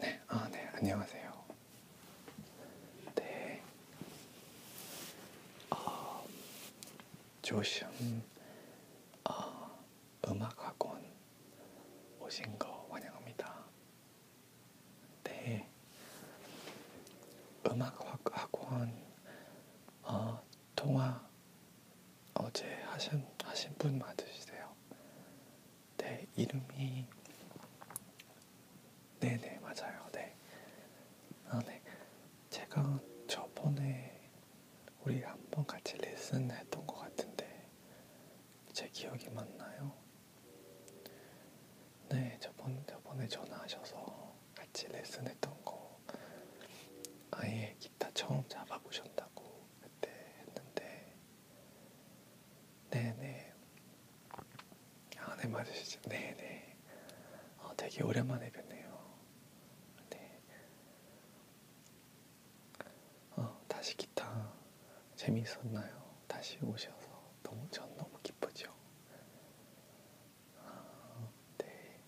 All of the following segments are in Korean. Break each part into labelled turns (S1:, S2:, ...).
S1: 네, 아, 네, 안녕하세요. 네, 어, 조심, 어, 음악학원 오신 거 환영합니다. 네, 음악학원 어, 아, 통화 어제 하신, 하신 분 맞으시세요? 네, 이름이. 네네, 네, 맞아요. 네. 아, 네. 제가 저번에 우리 한번 같이 레슨 했던 것 같은데, 제 기억이 맞나요? 네, 저번, 저번에 전화하셔서 같이 레슨 했던 거 아예 기타 처음 잡아보셨다고 그때 했는데 네네 아 네 맞으시죠? 네네 어, 되게 오랜만에 뵙네요 네 어, 다시 기타 재미있었나요? 다시 오셔서 너무 전 너무 기쁘죠? 아, 네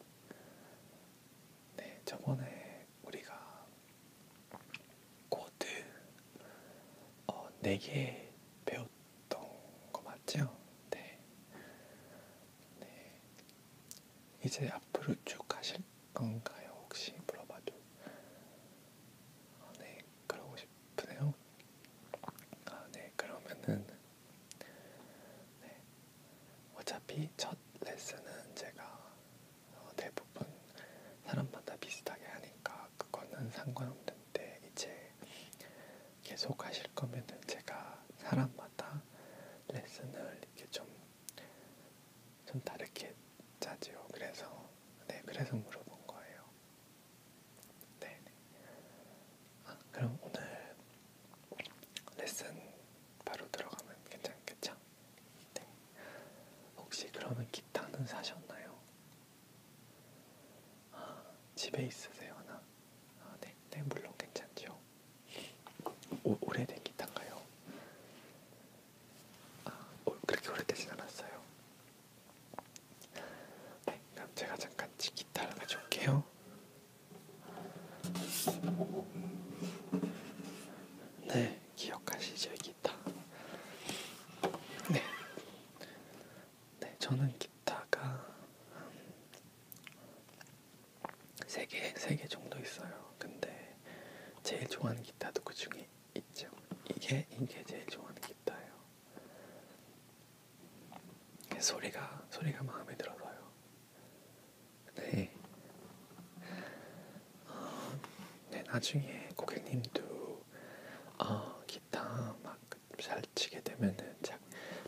S1: 네, 저번에 우리가 코드 어, 4개 배웠던 거 맞죠? 네. 네. 이제 앞으로 쭉 하실 건가요? 혹시 물어봐도. 아, 네, 그러고 싶으네요. 아, 네, 그러면은 네, 어차피 첫 레슨은 제가 어, 대부분 사람마다 비슷하게 하니까 그거는 상관없는데 이제 계속 하실 거면은 제가 사람마다 레슨을 이렇게 좀, 좀 다르게 짜지요. 그래서, 네, 그래서 물어본 거예요. 네. 네. 아, 그럼 오늘 레슨 바로 들어가면 괜찮겠죠? 네. 혹시 그러면 기타는 사셨나요? 아, 집에 있으세요 하나? 아, 네, 네 물론 괜찮죠. 오, 오래된 기타인가요? 아, 오, 그렇게 오래되진 않았어요. 네, 그럼 제가 잠깐 기타를 가져올게요. 네, 기억하시죠, 기타. 네, 네, 저는 기타가 세 개, 세 개 정도 있어요. 근데 제일 좋아하는 기타도 그 중에 있죠. 이게 이게 제일 좋아하는 기타예요. 소리가 소리가 마음에 들어서요. 네. 어, 네, 나중에 고객님도 어, 기타 막 잘 치게 되면은 자,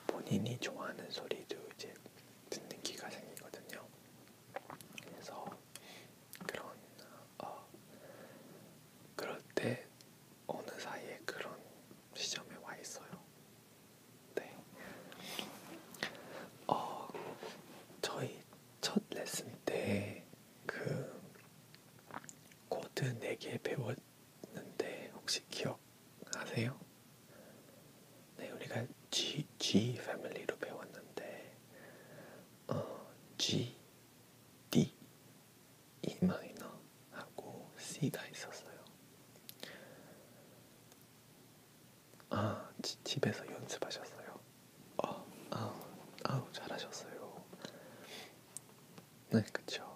S1: 본인이 좋아하는 소리도 이제 듣는 기가 생기거든요. 그래서 그런 어, 그럴 때 어느 사이에 그런 시점에 와 있어요. 네. 어, 저희 첫 레슨 때 그 코드 4개 배웠는데 혹시 기억하세요? 네, 우리가 G, G 패밀리로 배웠는데 어, G, D, E 마이너 하고 C가 있었어요. 아, 지, 집에서 연습하셨어요. 어, 아, 아우, 아우, 잘하셨어요. 네, 그쵸.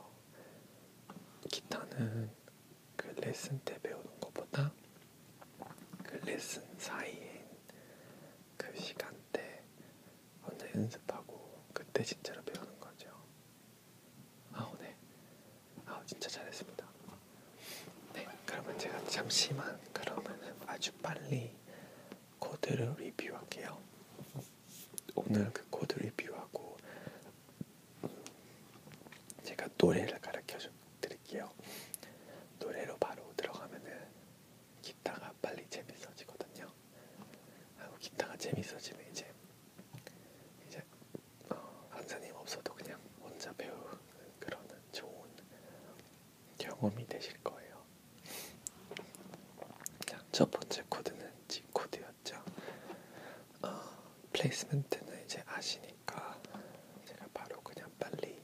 S1: 기타는 그 레슨 때 배우는 것보다 그 레슨 사이인 그 시간대 혼자 연습하고 그때 진짜로 배우는 거죠. 아우, 네. 아우, 진짜 잘했습니다. 네, 그러면 제가 잠시만 그러면은 아주 빨리 코드를 리뷰할게요. 오늘 네. 그 코드 리뷰하고 제가 노래를 가르쳐 드릴게요. 노래로 바로 들어가면은 기타가 빨리 재밌어지거든요. 하고 기타가 재밌어지면 이제 이제 어, 강사님 없어도 그냥 혼자 배우 그런 좋은 경험이 되실 거예요. 첫 번째 코드는 G 코드였죠. 어, 플레이스먼트는 이제 아시니까 제가 바로 그냥 빨리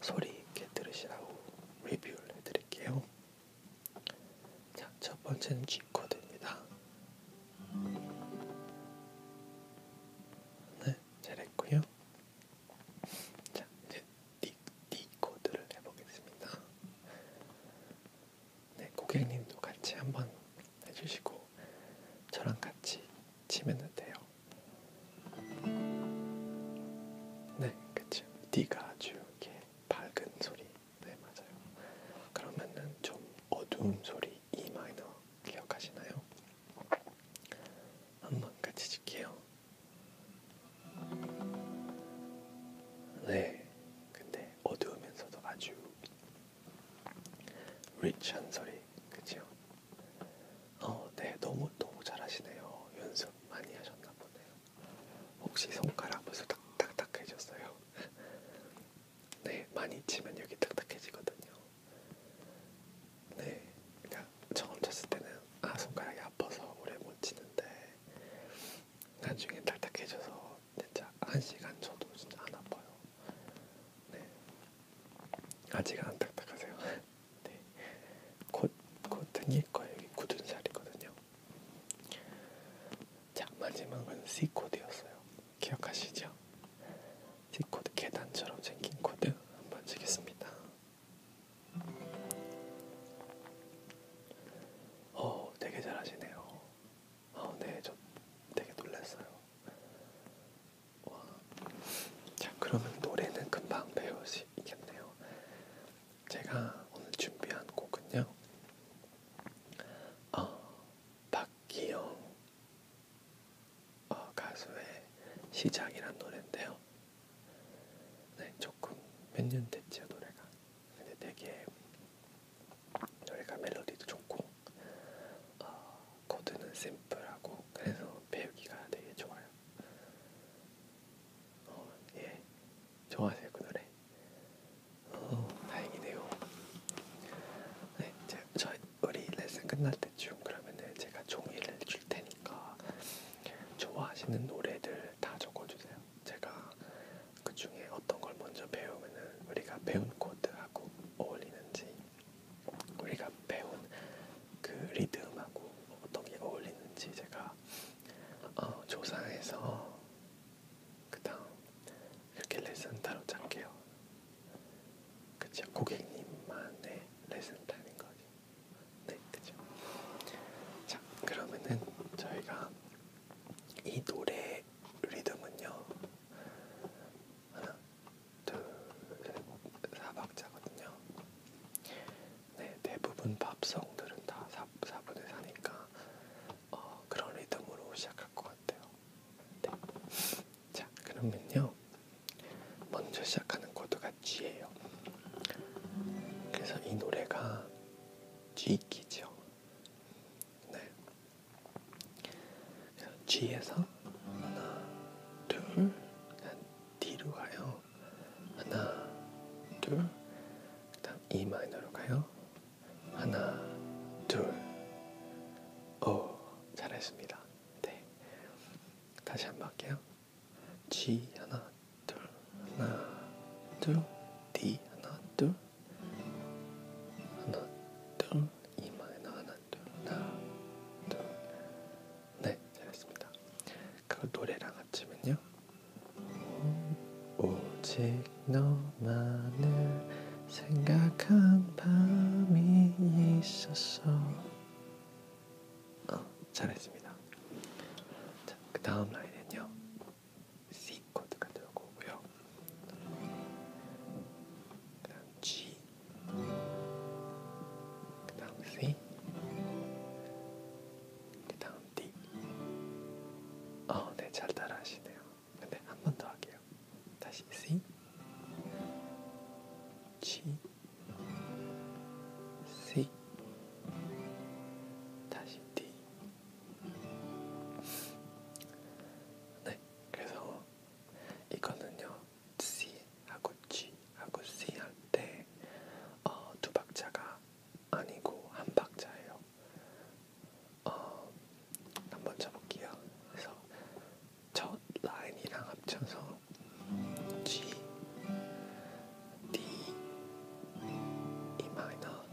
S1: 소리 있게 들으시라고 리뷰를 해드릴게요. 자, 첫 번째는 G 코드입니다. 네, 잘했고요. 자, 이제 디, 디코드를 해보겠습니다. 네, 고객님도 같이 한번 해주시고 저랑 같이 치면 돼요. 네, 그쵸. D가 아주 이렇게 밝은 소리. 네, 맞아요. 그러면은 좀 어두운 소리 E 마이너 기억하시나요? 한번 같이 줄게요. 네, 근데 어두우면서도 아주 리치한 소리, 그죠? 어, 네, 너무 너무 잘하시네요. 연습 많이 하셨나 보네요. 혹시 손가락 벌써 딱딱딱해졌어요? 네, 많이 치면 여기 딱딱해지거든요. 네, 그러니까 처음 쳤을 때는 아 손가락이 아파서 오래 못 치는데 나중에 딱딱해져서 진짜 한 시간 쳐도 진짜 안 아파요. 네, 아직 안 딱딱하세요. 네, 곧곧 튕길 거예요. 여기 굳은 살이거든요. 자 마지막은 C 코드였어요. 기억하시죠? D코드 계단처럼 생긴 코드 한번 치겠습니다. 어, 되게 잘하시네요. 어, 네, 저 되게 놀랐어요. 와. 자, 그러면 노래는 금방 배울 수 있겠네요. 제가 오늘 준비한 곡은요. 어, 박기영 어, 가수의 시작이란 노래인데요. 네, 조금 몇 년 됐죠 노래가. 근데 되게 노래가 멜로디도 좋고 어, 코드는 심플하고 그래서 배우기가 되게 좋아요. 어, 예, 좋아하세요 그 노래. 어, 다행이네요. 네, 제, 저 우리 레슨 끝날 때쯤 그러면은 제가 종이를 줄 테니까 좋아하시는 노래들 다 적어주세요. 제가 그 중에 어떤 걸 먼저 배우면은 우리가 배운 코드하고 어울리는지, 우리가 배운 그 리듬하고 어떤 게 어울리는지 제가 어, 조사해서 그다음 이렇게 레슨 따로 짤게요. 그쵸? 고객님만의 레슨 타임인 거지. 네, 그죠? 자, 그러면은 저희가 이 노래 리듬은요. 하나, 둘, 셋, 사박자거든요. 네, 대부분 팝송들은 다 4, 4분의 4니까 어, 그런 리듬으로 시작할 것 같아요. 네. 자, 그러면요. 먼저 시작하는 코드가 G예요. 그래서 이 노래가 G키죠. 네. G에서 하나, 둘, D로 가요. 하나, 둘, 그 다음 E 마이너로 가요. 하나, 둘, 오, 잘했습니다. 네. 다시 한번 할게요. G 하나 둘 하나 둘 D 하나 둘 하나 둘 e 이마에나 하나 둘 하나 둘 네 잘했습니다. 그걸 노래랑 합치면요. 오직 너만을 생각한 밤이 있었어 어, 잘했습니다. 자, 그 다음 라인은요. C 코드가 들어오고 오고요. 그 다음 G 그 다음 C 그 다음 D 어, 네, 잘 따라하시네요. 근데 한 번 더 할게요. 다시 C G C 다시 D 네 그래서 이거는요 C 하고 G 하고 C 할 때두 어, 박자가 아니고 한 박자예요. 어, 한번 쳐볼게요. 그래서 첫 라인이랑 합쳐서 G, D, E 마이너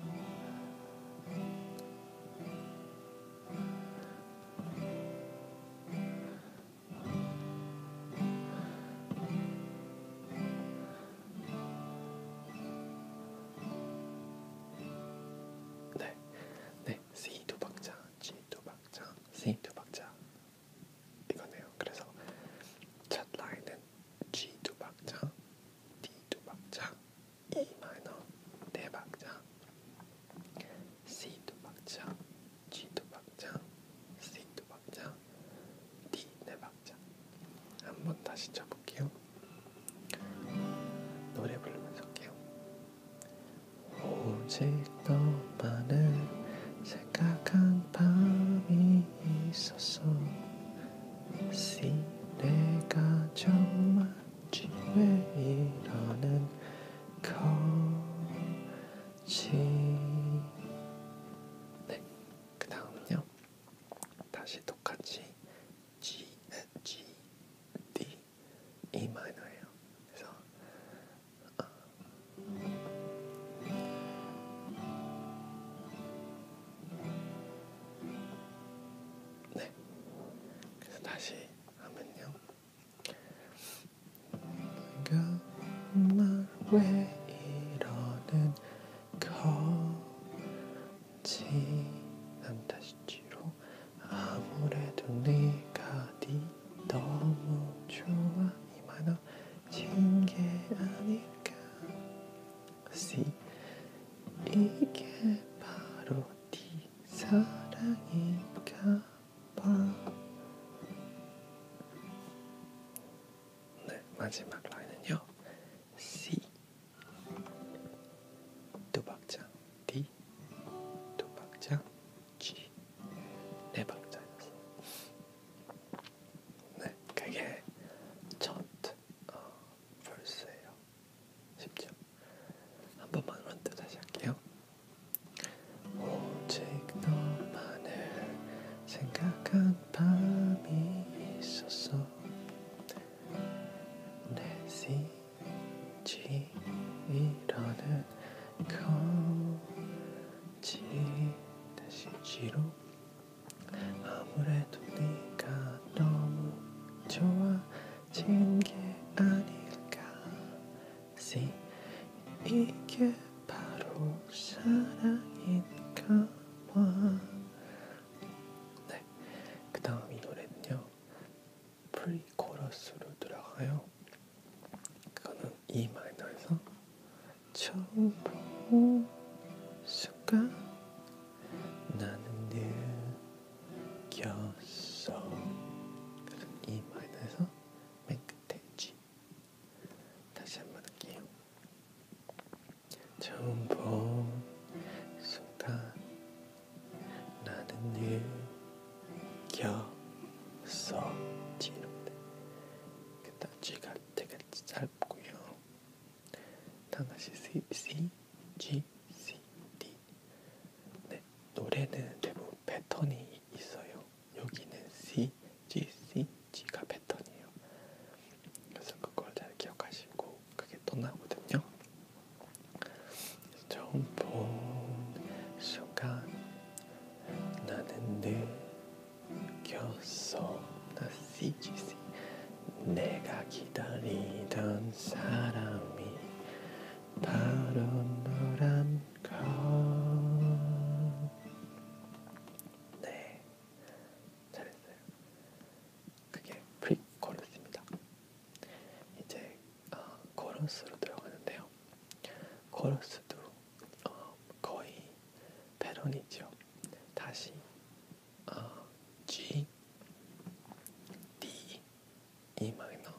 S1: 네, 네, C 두 박자, G 두 박자, C 두 박자, 이거네요. 그래서 첫 라인은 G 두 박자, D 두 박자, E 마이너 네 박자, C 두 박자, G 두 박자, C 두 박자, D 네 박자. 한번 다시 쳐볼게요. 노래 부르면서 할게요. 오직 너만을 생각한 밤이 있었어 씨 내가 정말 지왜 이러는 거지 네, 그 다음은요 다시 똑같이 G, G, D, E 마이너예요 그래서 네. 그래서 다시 하면요. 내가 말왜 이러는 거지? 난 다시 뒤로 아무래도 네가 네 너무 좋아 이만해진 게 아닐까 C 이게 바로 네 사랑인가 봐 네, 마지막 라인은요 C 두 박자 D 두 박자 G 네 박자였어. 네, 그게 첫 어, 벌스예요. 쉽죠? 한 번만 런트 다시 할게요. 오직 너만을 생각한 밤이 있었어. 내시지 이러는 거. G 다시 G로 아무래도 네가 너무 좋아진 게 아닐까 C 이게 바로 사랑인가 봐네 그다음 이 노래는요 프리코러스로 들어가요 그거는 E 마이너에서 처음 본 순간 나는 느꼈어 그래서 E 마이너에서 맨 끝에 G 다시 한번 할게요 처음 본 순간 나는 느꼈어 G 이렇게 쥐가 되게 짧고요. 다같이 C, C, G, C, D. 네, 노래는 대부분 패턴이 있어요. 여기는 C, G, C, G가 패턴이에요. 그래서 그걸 잘 기억하시고 그게 또 나오거든요. 처음 본 순간 나는 늘 겼어 나시지시 내가 기다리던 사람이 바로 너란 건네 잘했어요 그게 프리코러스입니다 이제 어, 코러스로 들어가는데요 코러스도 어, 거의 패런이죠. 다시 어, G, D, E 마이너.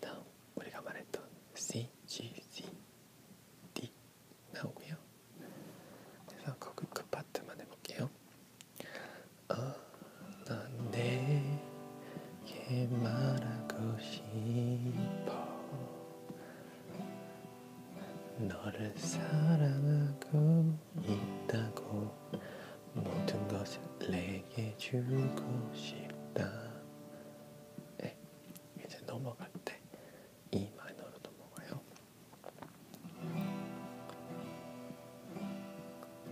S1: 다음 우리가 말했던 C, G, C, D 나오고요. 그래서 그, 그 파트만 해볼게요. 아, 어, 난 내게 말하고 싶어. 너를 사랑하고 있다고 모든 것을 내게 주고 싶다 네, 이제 넘어갈 때 E 마이너로 넘어가요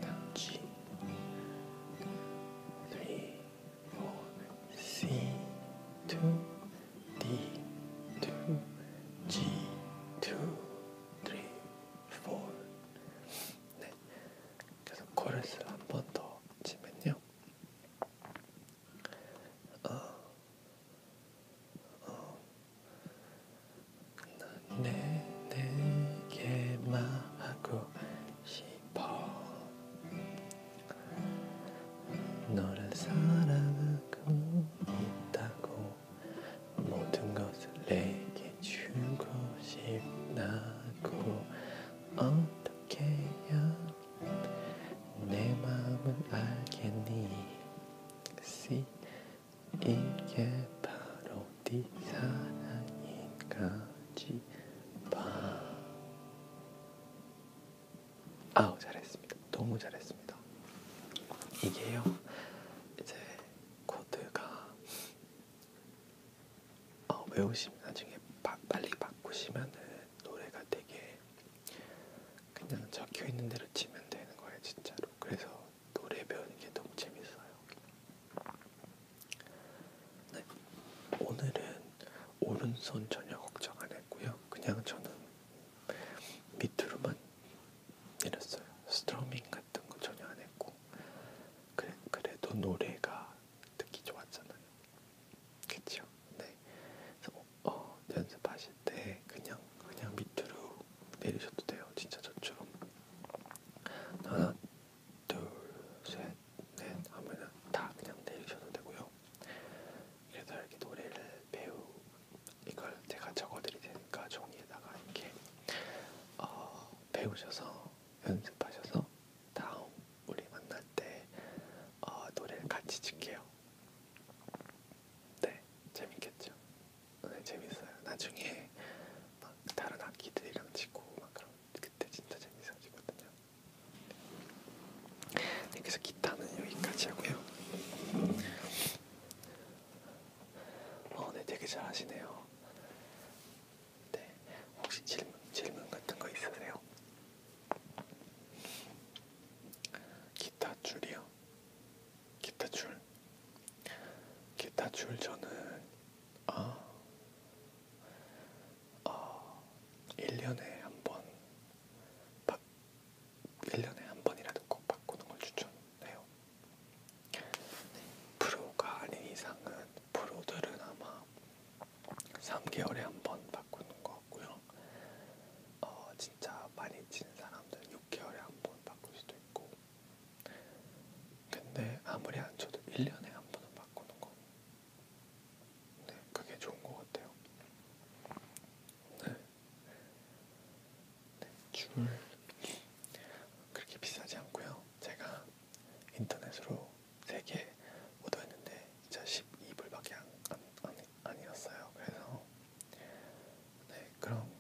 S1: 다음 G 3 C to D to G to 3 4 네. 그래서 코러스를 한번 더 치면요. 어. 어. 내 내게 말하고 싶 싶어 너를 사랑하고 있다고 모든 것을 내게 주고 싶다고 어떻게 해야 내 마음은 알겠니 See? 이게 바로 네 사랑인가지 봐 아우 잘했습니다. 너무 잘했습니다. 이게요. 이제 코드가 어, 외우시면 나중에 바, 빨리 바꾸시면은 노래가 되게 그냥 적혀 있는 대로 치면 되는 거예요, 진짜로. 그래서 노래 배우는 게 너무 재밌어요. 네, 오늘은 오른손 전혀 걱정 안 했고요. 그냥 저는 밑으로만 내렸어요. 스트로밍 같은 거 전혀 안 했고 그래, 그래도 노래가 듣기 좋았잖아요. 그쵸? 네. 그래서 뭐, 어, 연습하실 때 그냥 그냥 밑으로 내리셔도 돼요. 진짜 저처럼 하나, 둘, 셋. 네, 다음에는 다 그냥 내리셔도 되고요. 그래서 이렇게 노래를 배우 이걸 제가 적어드릴 테니까 종이에다가 이렇게 어, 배우셔서 연습하셔서 다음 우리 만날 때 어, 노래를 같이 칠게요. 네, 재밌겠죠? 네, 재밌어요. 나중에 막 다른 악기들이랑 치고 막 그런 그때 진짜 재밌어지거든요. 네, 그래서 기타는 여기까지 하고요. 어, 네, 되게 잘하시네요. 네, 혹시 질문, 질문 같은 거 있으세요? 기타 줄이요? 기타 줄? 기타 줄 저는 아, 아 1년에 한번 바, 1년에 한 번이라도 꼭 바꾸는 걸 추천해요. 네, 프로가 아닌 이상은 프로들은 아마 3개월에 한 번 바꾸는 것 같고요. 어, 진짜 많이 치는 사람들은 6개월에 한 번 바꿀 수도 있고. 근데 아무리 안 쳐도 1년에 한 번은 바꾸는 건 네, 그게 좋은 것 같아요. 네. 네, 줄 그렇게 비싸지 않고요. 제가 인터넷으로 세개 얻어했는데 진짜 12불밖에 안, 안, 안, 아니었어요. 그래서 네, 그럼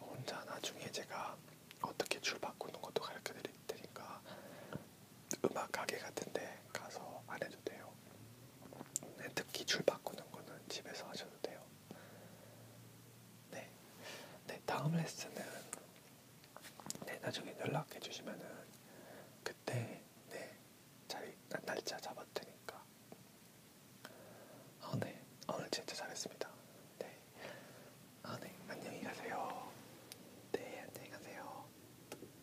S1: 혼자 나중에 제가 어떻게 줄 바꾸는 것도 가르쳐 드릴 테니까 음악 가게 같은데 가서 안 해도 돼요. 네, 특히 줄 바꾸는 거는 집에서 하셔도 돼요. 네, 네 다음 레슨은 네 나중에 연락해 주시면은 그때 네 자리 날짜 잡았 테니까. 아 네, 오늘 진짜 잘했습니다. 네, 아 네, 안녕히 가세요. 네, 안녕히 가세요.